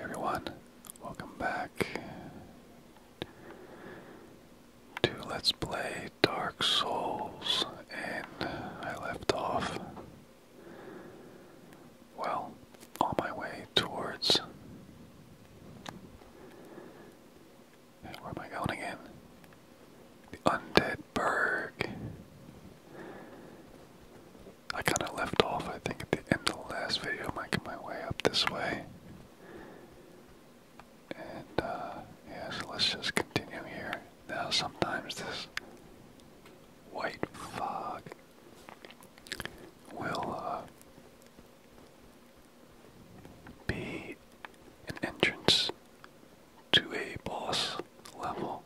everyone, welcome back to Let's Play Dark Souls, and I left off, well, on my way towards. Where am I going again? The Undead Burg. I kind of left off, I think, at the end of the last video, making my way up this way. And, uh, let's just continue here. Now, sometimes this white fog will, uh, be an entrance to a boss level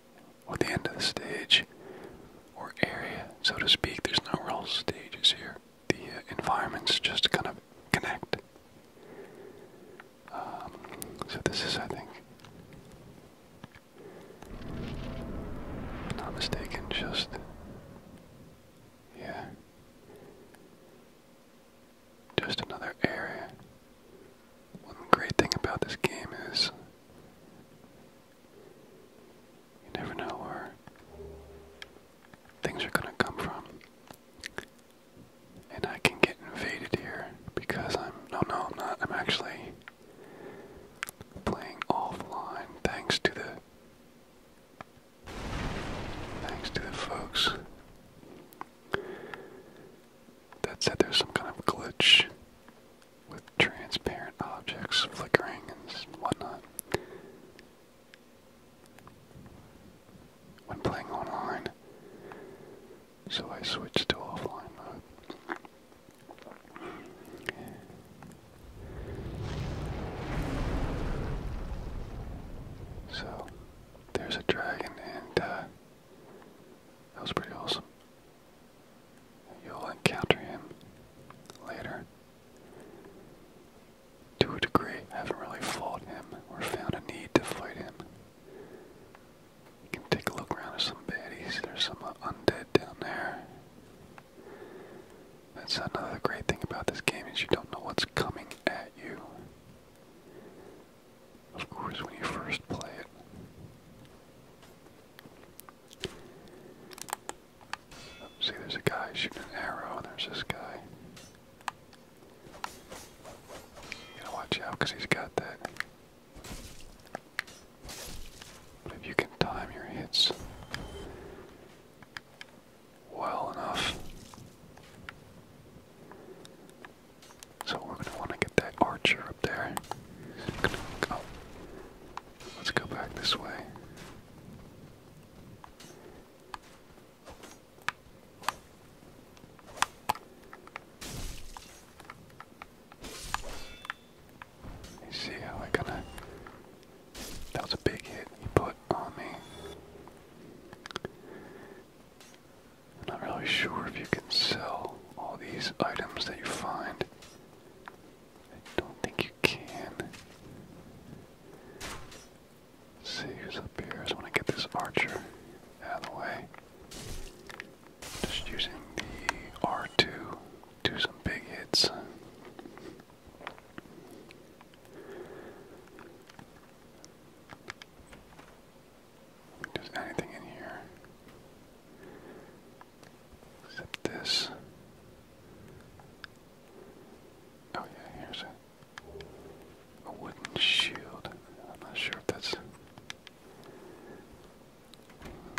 or the end of the stage or area, so to speak. There's no real stages here. The uh, environments just kind of connect. Um, so this is, I think, not mistaken, just yeah, just another area. One great thing about this game is you never know where things are going to come from. And I can get invaded here because I'm. No, no, I'm not. I'm actually playing offline thanks to the. Thanks to the folks that said there's some kind of glitch with transparent objects flickering and whatnot. When playing online, so I switched to offline mode. So, there's a dragon, and uh, that was pretty awesome. You'll encounter him later. To a degree, I haven't really fought him or found a need to fight him. You can take a look around at some baddies. There's some undead down there. That's another great thing about this game is you don't know what's coming at you. Of course, when you first play it. See, there's a guy shooting an arrow, and there's this guy. You gotta watch out because he's got that. But if you can time your hits well enough. So we're gonna want to get that archer up there. Gonna, oh, Let's go back this way. see how I kinda that was a big hit he put on me. not really sure if you can sell all these items that you find. I don't think you can. see who's up here. I just want to get this archer out of the way. Just using the R2 do some big hits. Just anything in here. Except this. Oh yeah, here's a, wooden shield. I'm not sure if that's...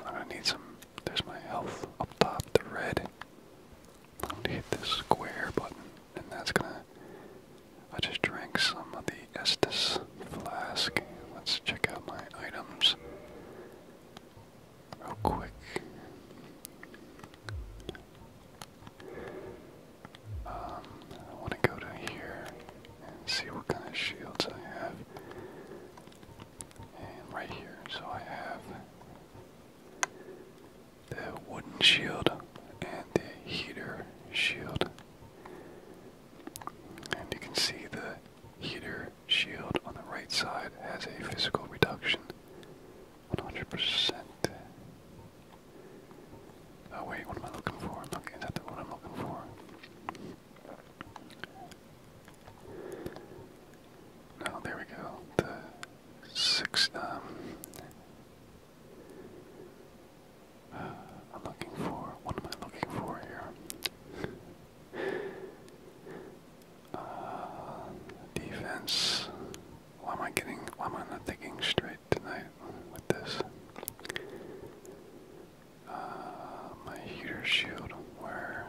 I'm gonna need some... There's my health up top, the red. I'm gonna hit this square button, and that's gonna... I just drank some of the estus flask. Let's check out my items real quick. Um, I want to go to here and see what kind of shields I have. And right here, so I have the wooden shield and the heater shield. And you can see the heater shield on the right side has a physical reduction. 100%. Oh wait, what am I looking for? looking, is that the I'm looking for? No, oh, there we go. The six, um, uh, I'm looking for, what am I looking for here? Uh, defense. Why am I getting? Why am I not thinking straight tonight with this? Uh, my heater shield. Where?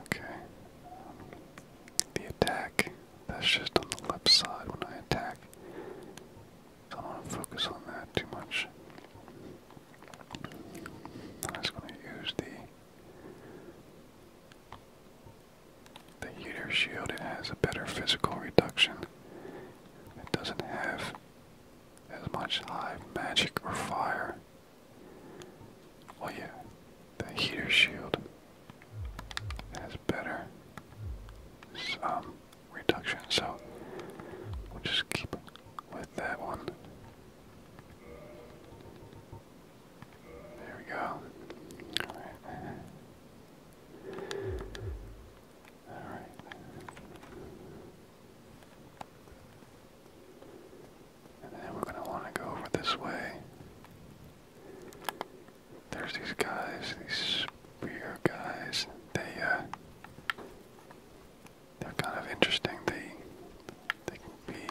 Okay. the attack. That's just on the left side when I attack. So I don't want to focus on that too much. I'm just going to use the the heater shield. It has a better physical reduction. It doesn't have as much live magic or fire. Well, yeah, the heater shield has better um, reduction. So we'll just keep with that one. There we go. All right. All right. And then we're going to want to go over this way. There's these guys, these over here, guys. They uh, they're kind of interesting. They they can be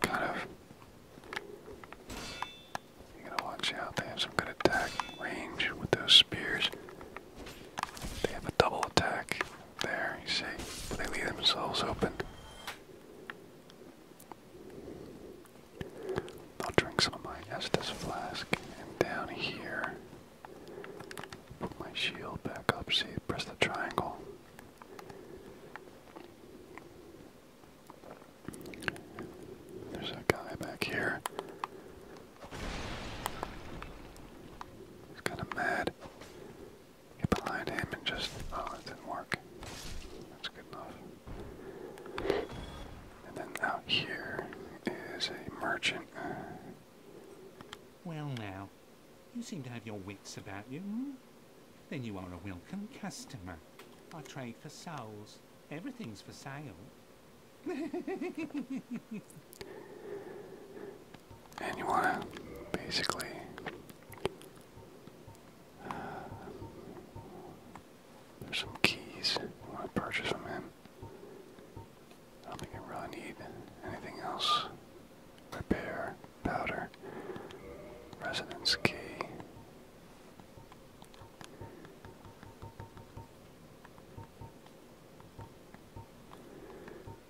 kind of. You gotta watch out. They have some good attack range with those spears. They have a double attack there, you see. But they leave themselves open. I'll drink some of my Estes flask, and down here, put my shield back up. See, press the triangle. There's a guy back here. He's kind of mad get behind him and just, oh, that didn't work. That's good enough. And then out here is a merchant. Well now, you seem to have your wits about you. Hmm? Then you are a welcome customer. I trade for souls. Everything's for sale. and you want to basically uh, there's some keys I want to purchase them in. I don't think I really need anything else. Repair, powder, residence key.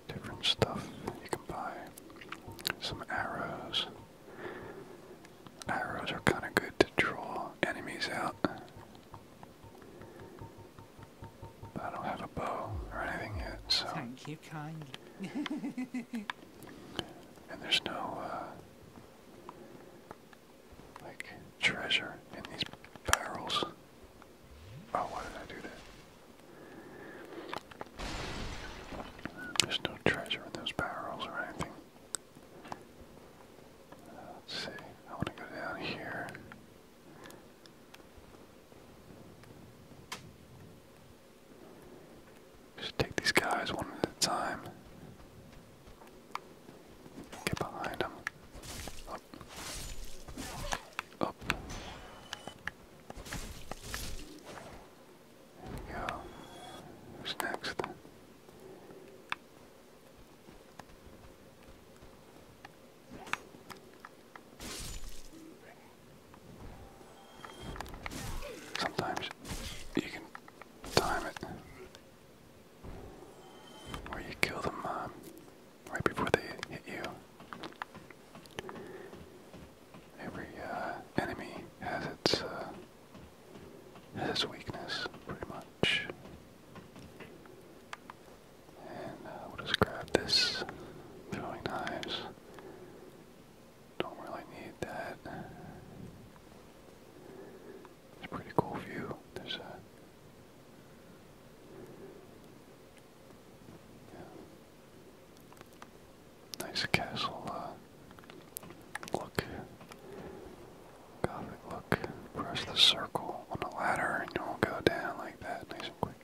Different stuff you can buy. Some arrows. Arrows are kind of good to draw enemies out. But I don't have a bow or anything yet, so. Thank you kindly. and there's no, uh, like, treasure in these barrels. Oh, why did I do that? There's no treasure in those barrels or anything. let's see. I want to go down here. Just take these guys one at a time. Get behind them. Up. Yeah. Who's next? Sometimes you can time it where you kill them um, right before they hit you every uh, enemy has its uh, has weakness, pretty much. And uh, we'll just grab this throwing knives. Don't really need that. It's a pretty cool view. There's a Nice castle uh, look. Gothic look. Press the circle on the ladder and you'll go down like that, nice and quick.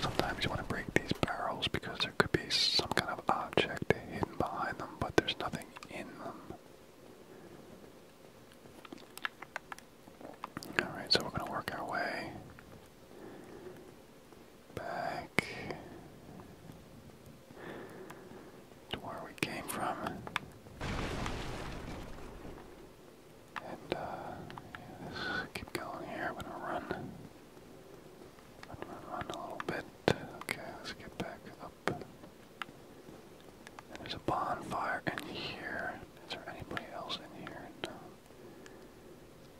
Sometimes you want to break these barrels because there could be some kind of object hidden behind them, but there's nothing in them. Alright, so we're going to work our way back to where we came from. And uh, let's keep going here. I'm gonna run. Run run run a little bit. Okay, let's get back up. there's a bonfire in here. Is there anybody else in here?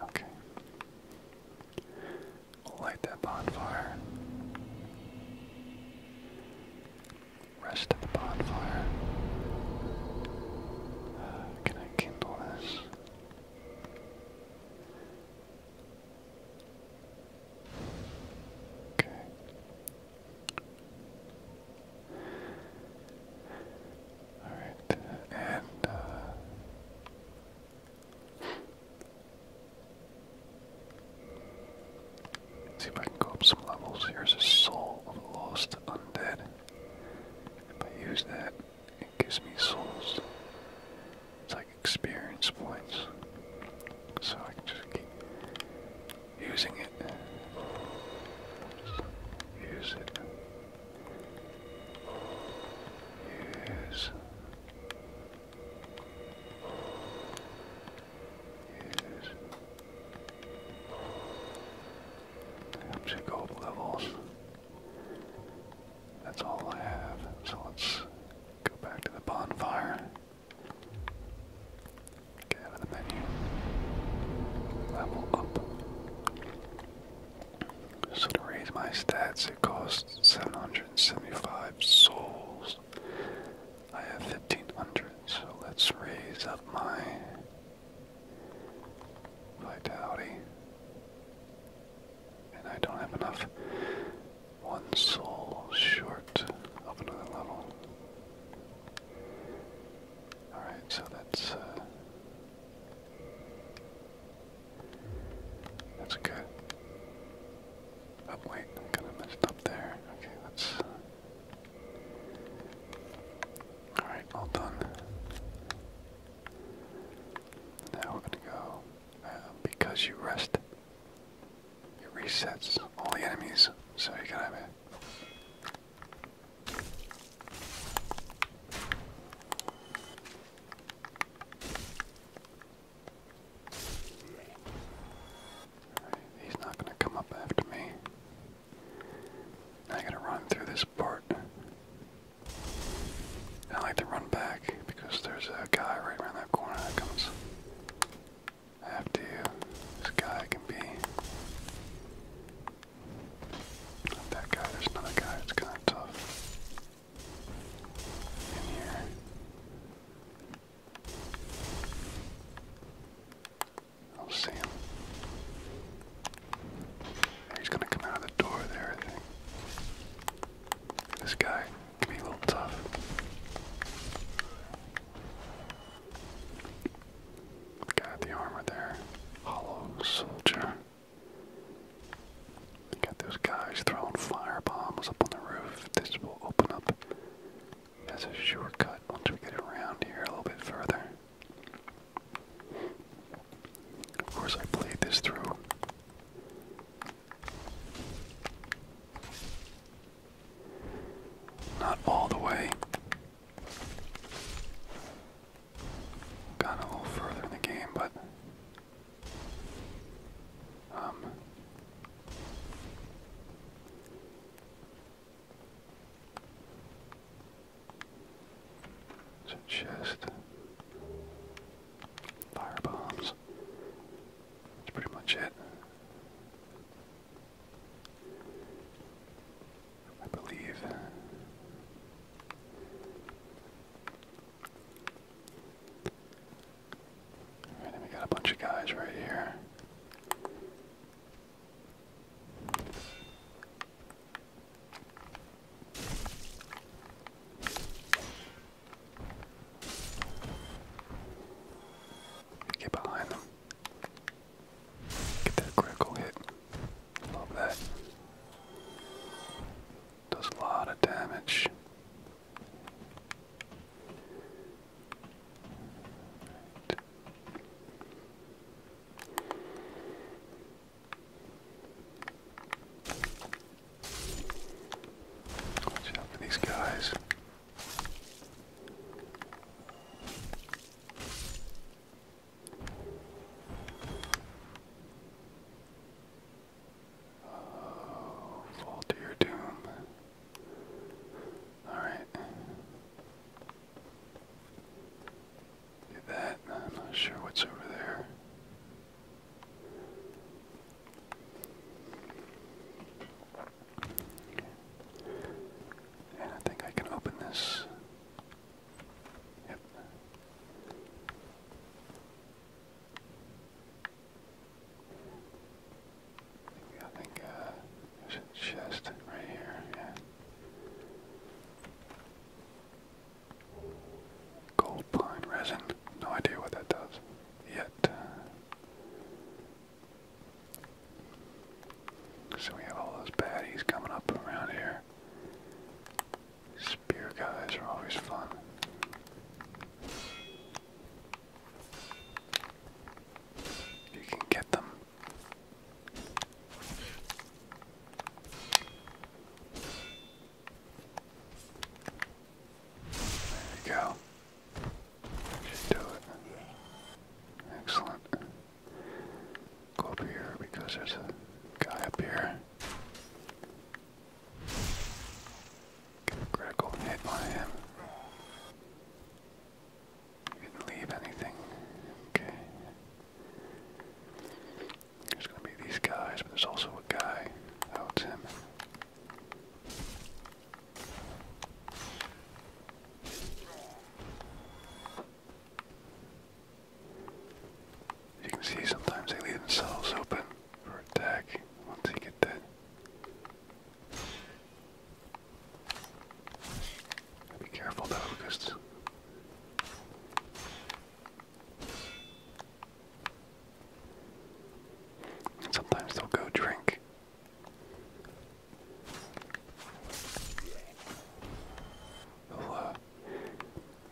Okay. Light that bonfire. Rest of the bonfire. Uh, can I kindle this? Okay. Alright, and uh, see if I can go up some levels. Here's a soul of lost undead. If I use that, it gives me souls. It's like experience points. So I can just keep using it. Use it. Use. Use. Up to gold levels. That's all I have. So let's go back to the bonfire. Get out of the menu. Level up. So to raise my stats, it costs 775 souls. I have 1500, so let's raise up my vitality. And I don't have enough. One soul short of another level. Alright, so that's uh, that's good. Oh wait, I kind of messed up there. Okay, let's. right, all done. Now we're gonna go. Uh, because you rest, it resets all the enemies, so you can have he's not going to come up after me. Now I gotta run through this part. I like to run back because there's a guy right around that corner that comes after you. This guy can be not that guy, there's another guy, it's kinda tough. In here. I'll see him. He's gonna come out of the door there, This guy can be a little tough. The guy with the armor there. Hollow soldier. You got those guys throwing fire bombs up on the roof. This will open up as a shortcut once we get around here a little bit further. Of course, I played this through. Not all the way, gotten a little further in the game, but um, it's a chest, fire bombs. That's pretty much it. I believe. we got a bunch of guys right here. Get behind them. Get that critical hit. Love that. Does a lot of damage. Right. guys fall to your doom. Alright. Do that. I'm not sure what's over there. And I think I can open this. I think uh, chest right here, yeah. Gold pine resin. No idea what that does yet. So we have all those baddies coming up around here. Spear guys are always fun. You can get them. There you go. Should do it. Excellent. Go up here because there's a guy up here. Get a critical hit on him. didn't leave anything. Okay. There's gonna be these guys, but there's also a guy. Oh, it's him you can see, sometimes they leave themselves open for attack once they get that. Be careful though, because sometimes they'll go drink they'll, uh,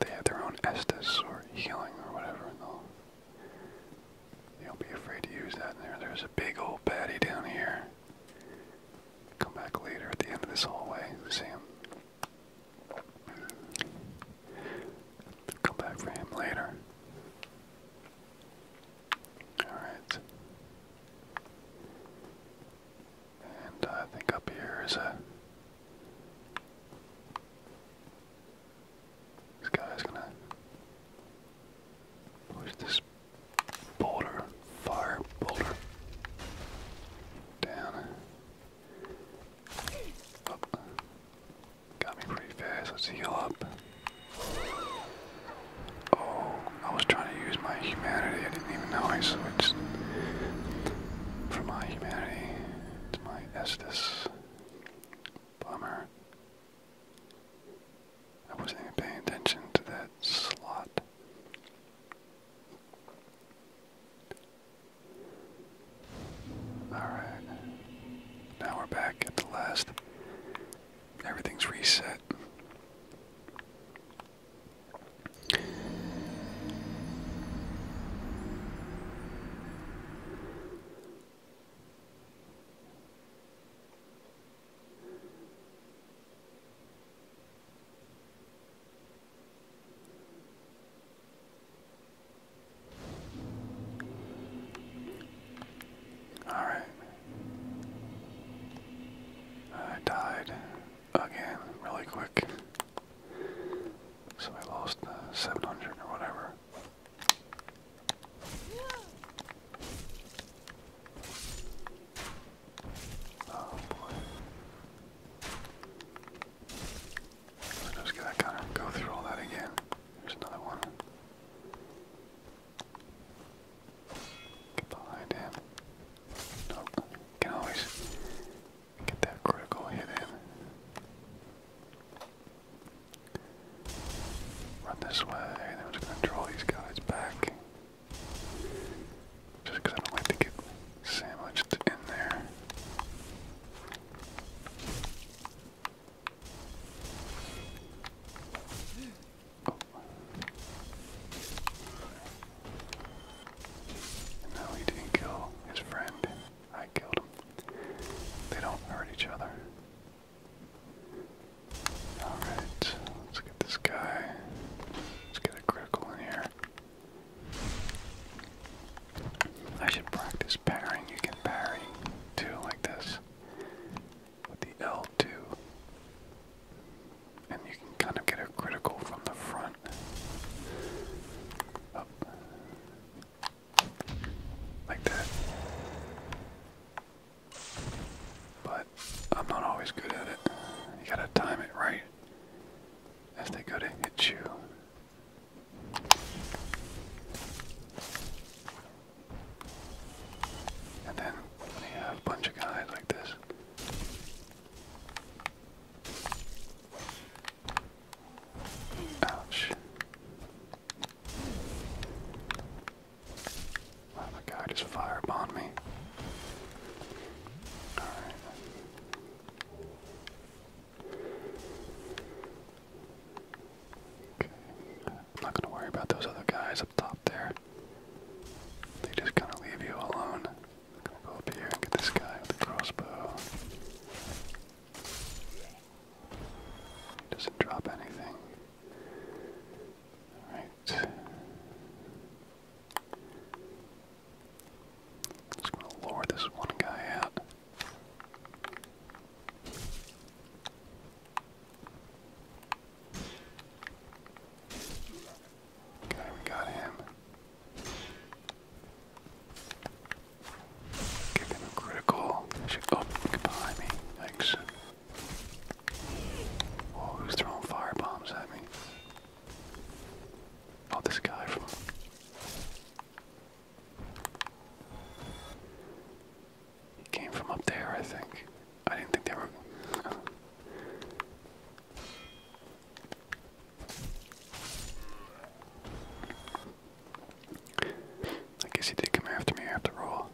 they have their own Estus or healing or whatever, and they'll, they will be afraid to use that. there's a big old baddie down here. Come back later at the end of this hallway, see him. Come back for him later. Alright. And I think up here is a. This guy's gonna push this boulder, fire boulder, down. Oh. Got me pretty fast. Let's heal up. Oh, I was trying to use my humanity. I didn't even know I switched from my humanity to my estus. Bummer. I wasn't even paying attention to that slot. Alright. Now we're back at the last. Everything's reset. All right. I died again really quick. So I lost 700 or whatever. Oh boy. just kind of go through all that again. There's another one. Get behind him. Nope. Can always get that critical hit in. Run this way, and I'm these guys back. Just I don't like to get sandwiched in there no, he didn't kill his friend. I killed him. They don't hurt each other. Alright, let's get this guy. Let's get a critical in here. I should practice parrying. You can parry too, like this, with the L2 and you can kind of get a critical from the front. Up. Like that. But I'm not always good at it. You gotta time it right as they go to hit you. And then when you have a bunch of guys like this, Ouch. Wow, that guy just firebombed me. Alright. Okay. not gonna worry about those other guys up top there. They just kind of leave you alone. go up here and get this guy with the crossbow. Doesn't drop anything. Alright. Just gonna lure this one guy out. Okay, we got him. critical. oh, behind me. Thanks. Oh, who's throwing firebombs at me? Oh, this guy from. He came from up there, I think. I didn't think they were. I guess he did come after me after all.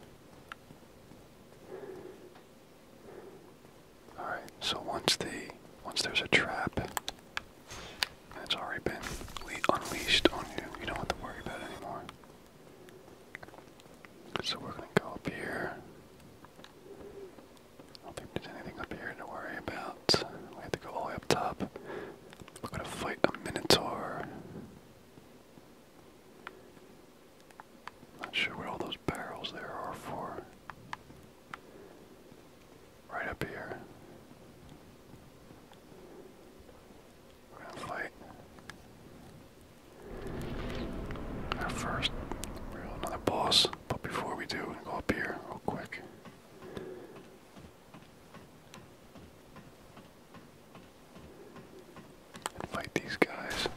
Alright, so once the once there's a trap that's already been unleashed on you, you don't have to worry about it anymore. So we're gonna go up here. I don't think there's anything up here to worry about. We have to go all the way up top. We're gonna fight a minotaur. Not sure what all those barrels there are for. Right up here. We're gonna fight our first real another boss, but before we do, are gonna go up here real quick. fight these guys.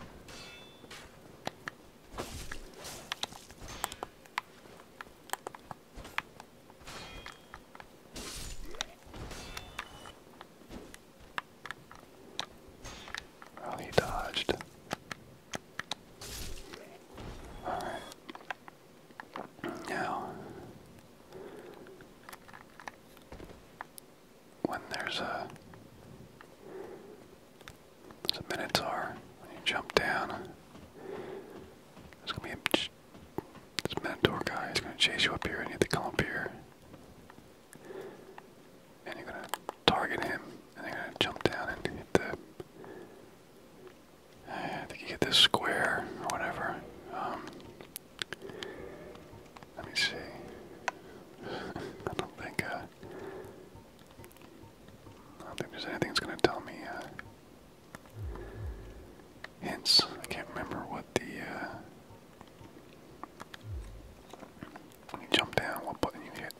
Well, he dodged. Alright. Now, when there's a. There's Minotaur, when you jump down, there's gonna be This Minotaur guy is gonna chase you up here and you have to come up here. And you're gonna target him, and you're gonna jump down and hit the. I think you hit this square or whatever. Um, let me see. I don't think. Uh, I don't think there's anything that's gonna tell me. Uh, hints. I can't remember what the uh, when you jump down, what button you hit.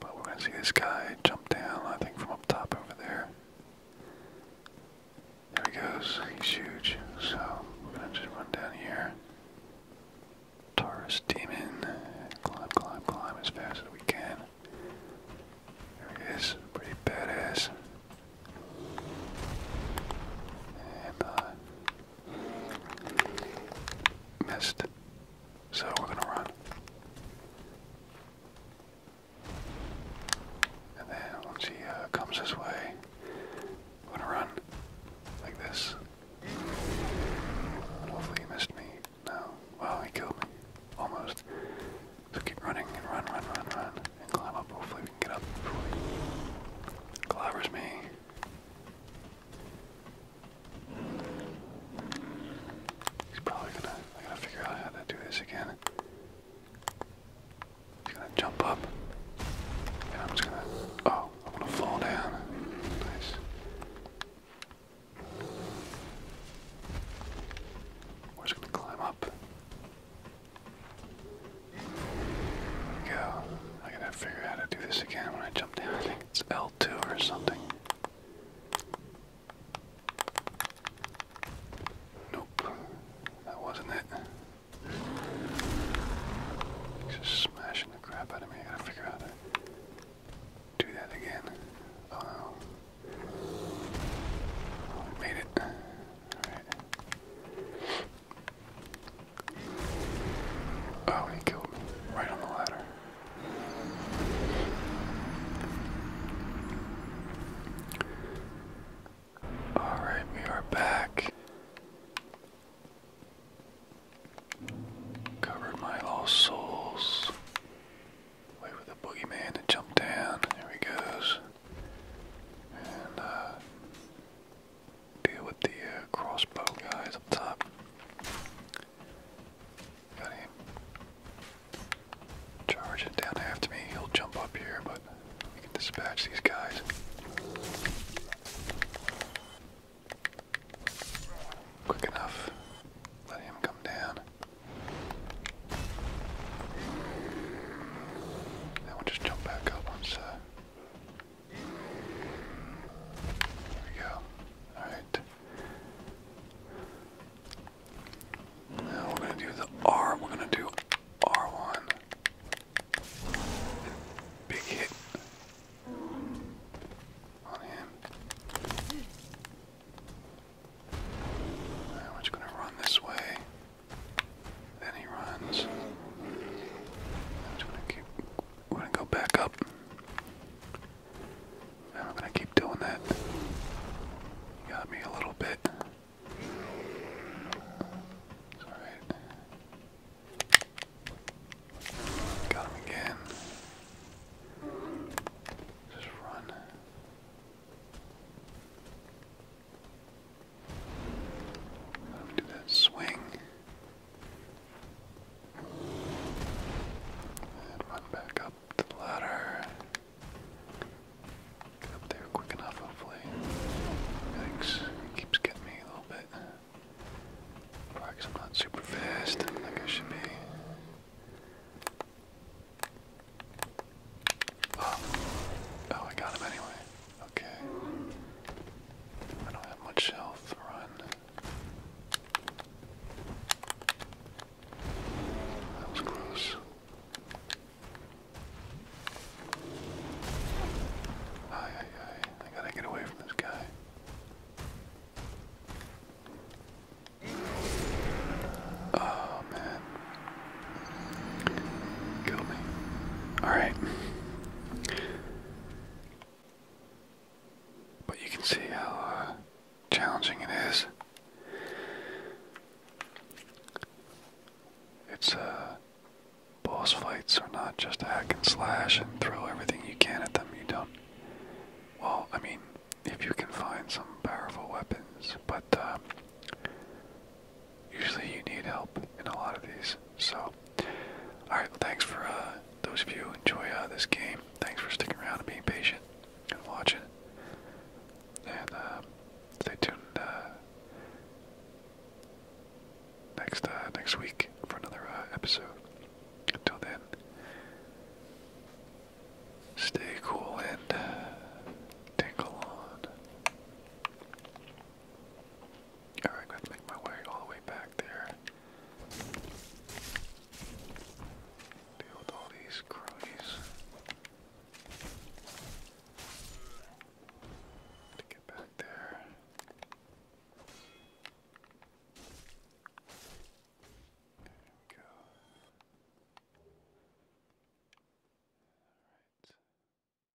But we're going to see this guy jump down, I think, from up top over there. There he goes. He's huge. So we're going to just run down here. Taurus Demon. Climb, climb, climb as fast as we can. There he is. Pretty badass. And uh, Missed. So we're gonna run. And then once he uh, comes this way, we're gonna run like this. Hopefully he missed me. No. Well, he killed me. Almost. So keep running and run, run, run, run. And climb up. Hopefully we can get up before he clobbers me. He's probably gonna, I gotta figure out how to do this again. He's gonna jump up. And I'm just gonna, oh, I'm gonna fall down. Nice. We're just gonna climb up we go. I gotta figure out how to do this again when I jump down. I think it's L2 or something. Nope. That wasn't it. It's just smashing the crap out of me. I gotta figure out how to do that again. Oh, oh made it. Alright. Oh, he killed me right on the ladder. Alright, we are back. Covered my lost souls. Wait for the boogeyman to jump down. There he goes. Uh, deal with the uh, crossbow guys up top. Got him. Charge it down after me. He'll jump up here, but we can dispatch these guys. Quick enough. Let him come down. Now we'll just jump back up once uh, there we go. Alright. Now we're going to do the R. We're going to do R1. Big hit on him. Alright, we're just going to run this way. Then he runs. I'm gonna go back up. I'm gonna keep doing that. got me a little bit. alright. Got him again. Just run. After that swing, and run back up to the ladder. Get up there quick enough, hopefully. Thanks. keeps getting me a little bit. I'm not super fast, like I should be. Oh, oh I got him anyway. Okay. I don't have much health. Run. That was close. Aye, aye, I gotta get away from this guy. Oh man. Kill me. Alright. But you can see how uh, challenging it is. It's uh, boss fights are not just hack and slash and throw everything you can at them. You don't. Well, I mean, if you can find some powerful weapons, but uh, usually you need help in a lot of these. So, all right. thanks for uh, those of you who enjoy uh, this game. Thanks for sticking around and being patient and watching. And uh, stay tuned next next week for another episode. Until then, stay cool and take a on. Alright, I to make my way all the way back there. Deal with all these cronies. To get back there. There we go. All right.